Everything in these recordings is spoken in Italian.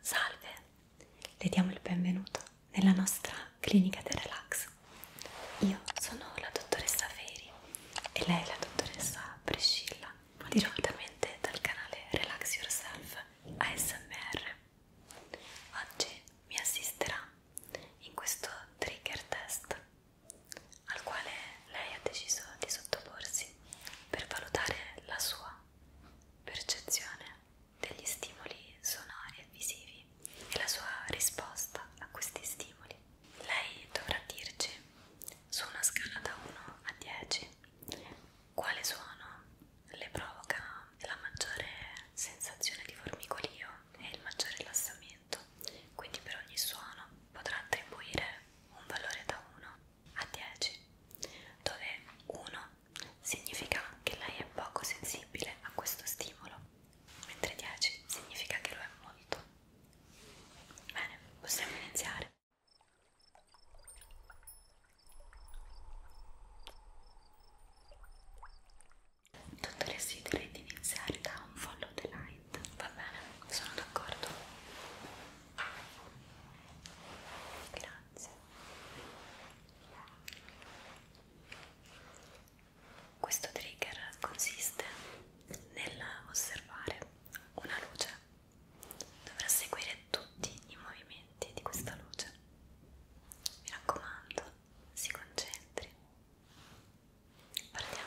Salve, le diamo il benvenuto nella nostra clinica del relax. Io sono la dottoressa Feri e lei è la dottoressa Priscilla, direttamente dal canale Relax Yourself ASMR. Oggi mi assisterà in questo trigger test al quale lei ha deciso di sottoporsi per valutare la sua percezione degli stimoli sonori e visivi e la sua risposta a questi stimoli. Lei dovrà dirci su una scala da 1 a 10 quale suono le provoca la maggiore sensazione di formicolio e il maggiore rilassamento. Quindi per ogni suono potrà attribuire un valore da 1 a 10, dove 1 significa che lei è poco sensibile a questo stimolo, mentre 10 significa che lo è molto. Bene, possiamo iniziare. Dottoressa, direi di iniziare da un follow the light, va bene? Sono d'accordo. Grazie. Questo trigger consiste nell'osservare una luce. Dovrà seguire tutti i movimenti di questa luce. Mi raccomando, si concentri. Partiamo.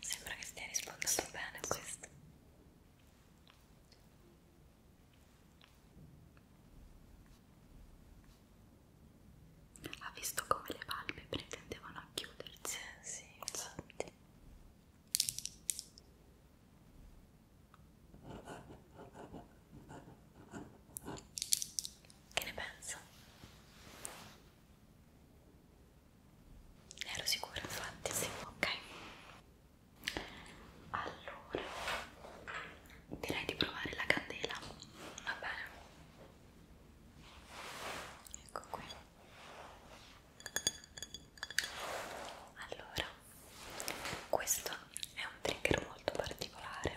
Sembra che stia rispondendo bene a questo. Ha visto come le palpebre tendevano a chiudersi? Sì, infatti. Che ne penso? Ne ero sicura, infatti, sì. Ok. Allora, direi di provare la candela. Va bene. Ecco qui. Allora, questo è un trigger molto particolare,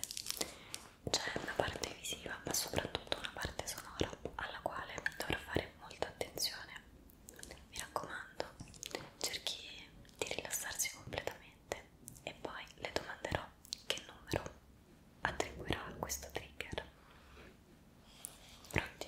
c'è cioè, una parte visiva ma soprattutto una parte sonora alla quale dovrò fare molta attenzione. Mi raccomando, cerchi di rilassarsi completamente e poi le domanderò che numero attribuirà a questo trigger. Pronti?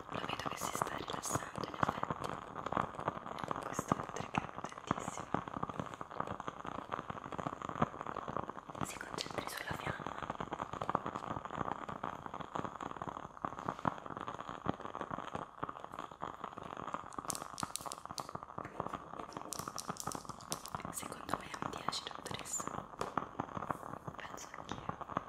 lo vedo che si sta rilassando in effetti questo è un trigger potentissimo si concentri sulla fiamma Secondo me è un 10 dottoressa Penso anch'io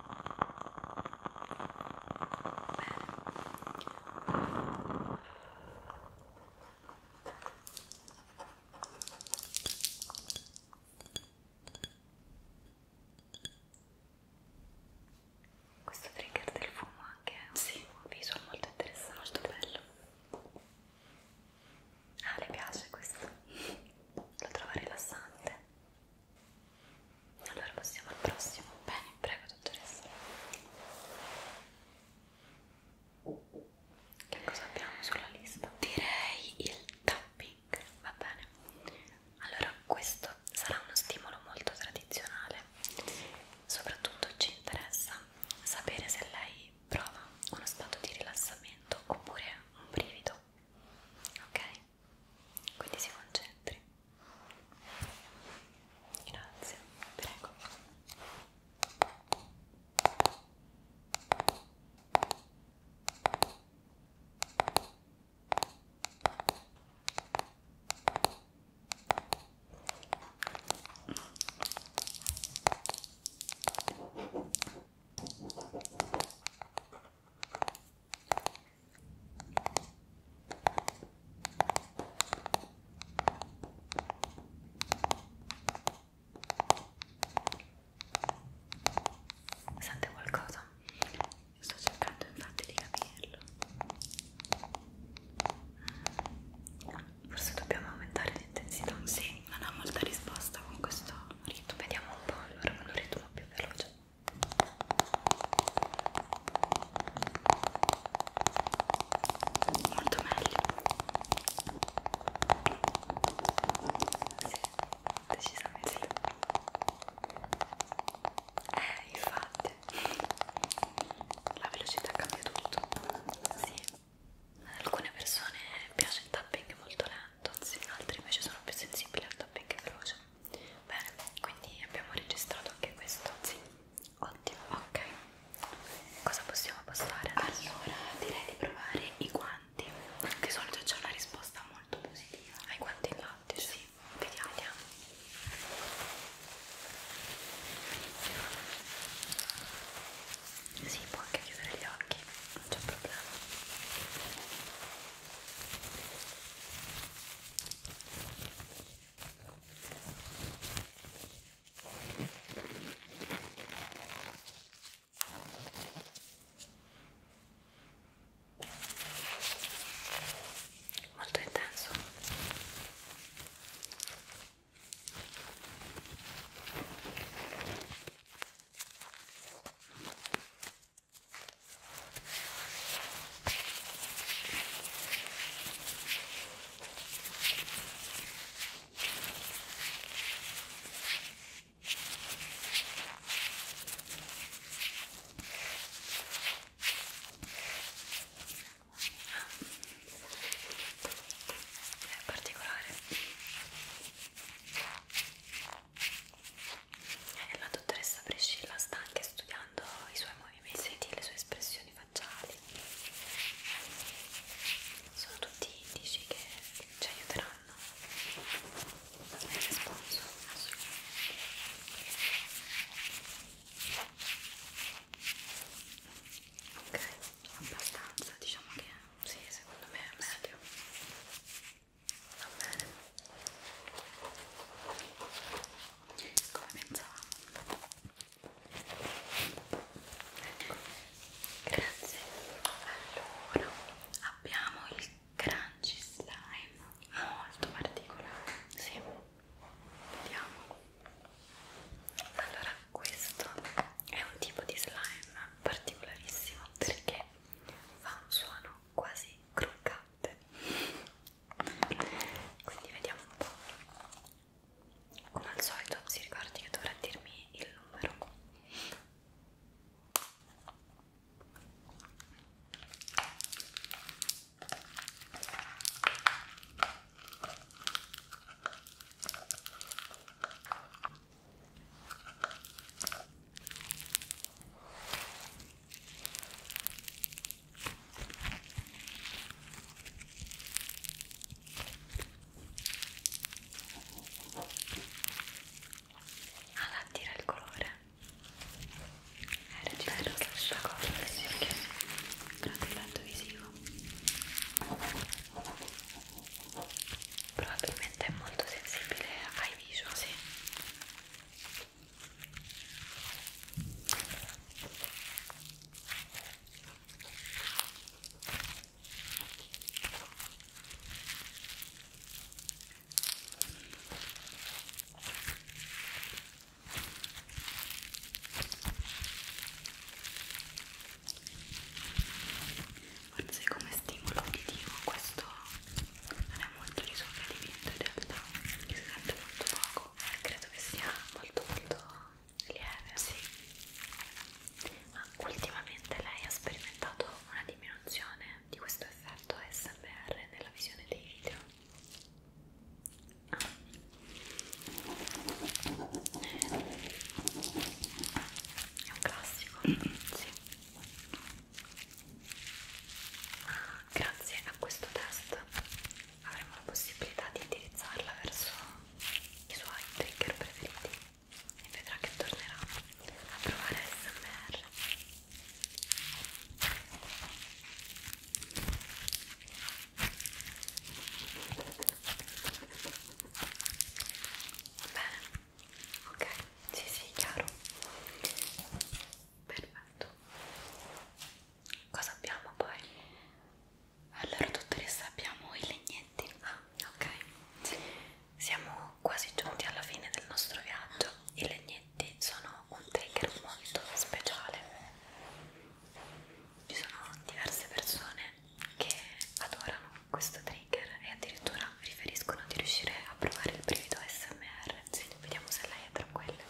Questo trigger del fumo anche è sì. un visual molto interessante, molto bello. Ah, le piace questo? Lo trova rilassante? Allora passiamo al prossimo. Bene, prego dottoressa. Che cosa abbiamo sulla lista? Direi il tapping, va bene. Allora, questo sarà uno stimolo molto tradizionale. Soprattutto ci interessa sapere se lei prova uno stato di rilassamento oppure un brivido. Ok? quindi si concentri grazie prego Sente qualcosa? Sto cercando infatti di capirlo. Mm. Forse dobbiamo aumentare l'intensità. Sì, non ha molta risposta con questo rito, vediamo un po', allora con un ritmo più veloce molto meglio sì, decisamente eh, infatti la velocità cambia tutto sì. ad alcune persone piace il tapping molto lento tanto altri invece sono più sensibili al tapping veloce bene quindi abbiamo registrato anche questo sì ottimo ok cosa possiamo passare adesso? allora direi di provare i guanti di solito c'è una risposta molto positiva ai guanti in latte sì vediamo, vediamo si può anche chiudere gli occhi non c'è problema molto intenso è particolare e eh, la dottoressa Priscilla sta anche studiando i suoi movimenti, le sue espressioni facciali. Sono tutti indici che ci aiuteranno nel risponso. Ok, abbastanza, diciamo che sì, secondo me è meglio. Va bene. Come pensavamo. Ecco. Grazie. Allora, abbiamo il crunchy slime molto particolare. Sì. Vediamo. Allora, questo è un tipo di slime particolarissimo perché fa un suono quasi croccante quindi vediamo un po' come al solito si ricordi che dovrà dirmi il numero alla tira il colore era bello che questa cosa sì, perché prende il lato visivo probabilmente è molto sensibile ai visual sì forse come stimolo uditivo questo non è molto risolvimento in realtà mi si sente molto poco credo che sia molto molto lieve sì. ma ultimamente lei ha sperimentato una diminuzione di questo effetto SMR nella visione dei video ah. È un classico. Mm -hmm. Sì. Grazie a questo test avremo la possibilità di indirizzarla verso i suoi trigger preferiti e vedrà che tornerà a provare SMR. Bene, ok, sì sì, chiaro. Perfetto. Cosa abbiamo poi? Allora, dottoressa, abbiamo i legnetti. Ah, ok. Siamo quasi giunti alla fine del nostro viaggio. I legnetti sono un trigger molto speciale ci sono diverse persone che adorano questo trigger e addirittura riferiscono di riuscire a provare il brivido ASMR sì, vediamo se lei è tra quelle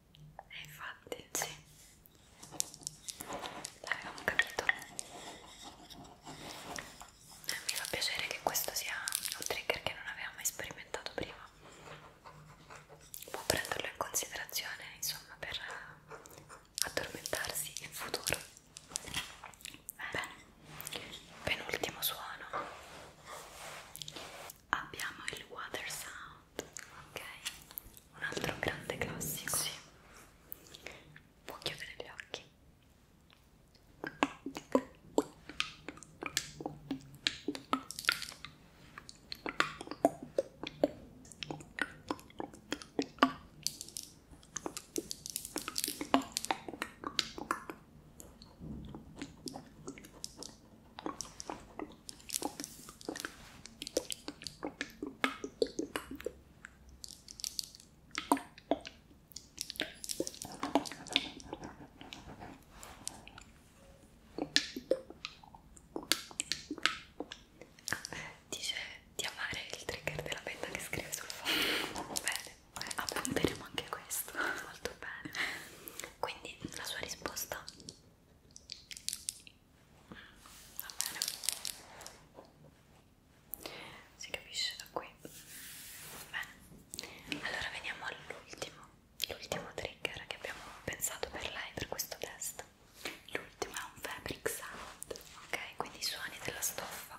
E eh, infatti, sì, l'avevamo capito. Eh, mi fa piacere che questo sia un trigger che non avevamo mai sperimentato prima. Può prenderlo in considerazione, insomma, per addormentarsi in futuro. Bene, penultimo suono. Abbiamo il water sound. Not, ok? Un altro grande classico. Sì. Può chiudere gli occhi. Dice di amare il trigger della penna che scrive sul fondo. Bene, appunteremo anche questo. Molto bene. Quindi la sua risposta va bene si capisce da qui bene allora veniamo all'ultimo l'ultimo trigger che abbiamo pensato per lei per questo test l'ultimo è un fabric sound ok quindi i suoni della stoffa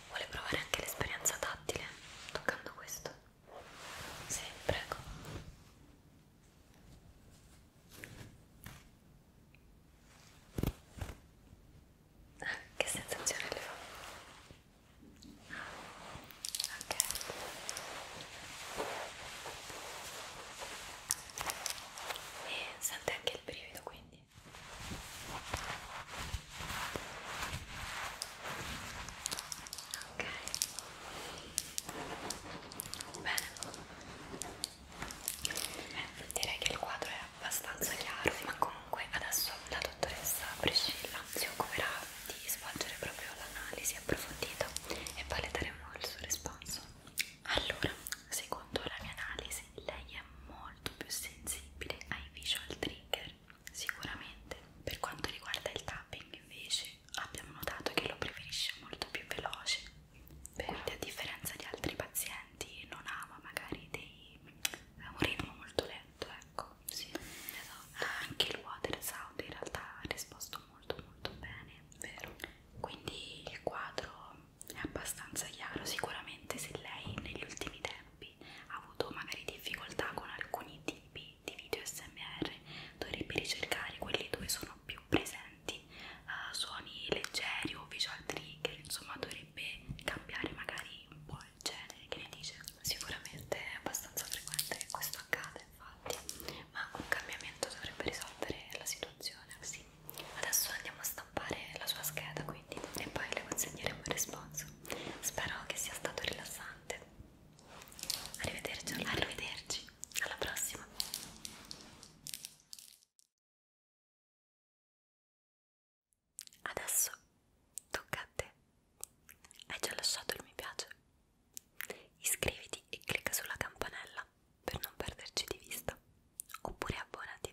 Vuole provare anche l'esperienza tattile toccando questo? Sì, prego. Ah, che sensazione le fa? Ok. E sente anche il brivido quindi. Ok. Bene. Beh, direi che il quadro è abbastanza chiaro, ma comunque adesso la dottoressa Priscilla si occuperà di svolgere proprio l'analisi approfondita e poi le daremo il suo risponso. Allora, secondo la mia analisi, lei è molto più sensibile ai visual trigger sicuramente. Per quanto riguarda il tapping invece abbiamo notato che lo preferisce molto più veloce, quindi a differenza di altri pazienti non ama magari dei, un ritmo molto lento, ecco. Sì, esatto. Anche il water sound in realtà ha risposto molto molto bene, vero? Quindi il quadro è abbastanza chiaro, sicuramente se lei negli ultimi tempi tempi ha avuto magari difficoltà con alcuni tipi di video smr dovrebbe ricercare quelli dove sono più presenti uh, suoni leggeri o visual trigger insomma dovrebbe cambiare magari un po' il genere che ne dice sicuramente è abbastanza frequente che questo accada infatti ma un cambiamento dovrebbe risolvere la situazione sì adesso andiamo a stampare la sua scheda qui quindi e poi le consegneremo il responso spero che sia stato rilassante arrivederci alla, arrivederci. alla prossima adesso tocca a te hai già lasciato il mi piace iscriviti e clicca sulla campanella per non perderci di vista oppure abbonati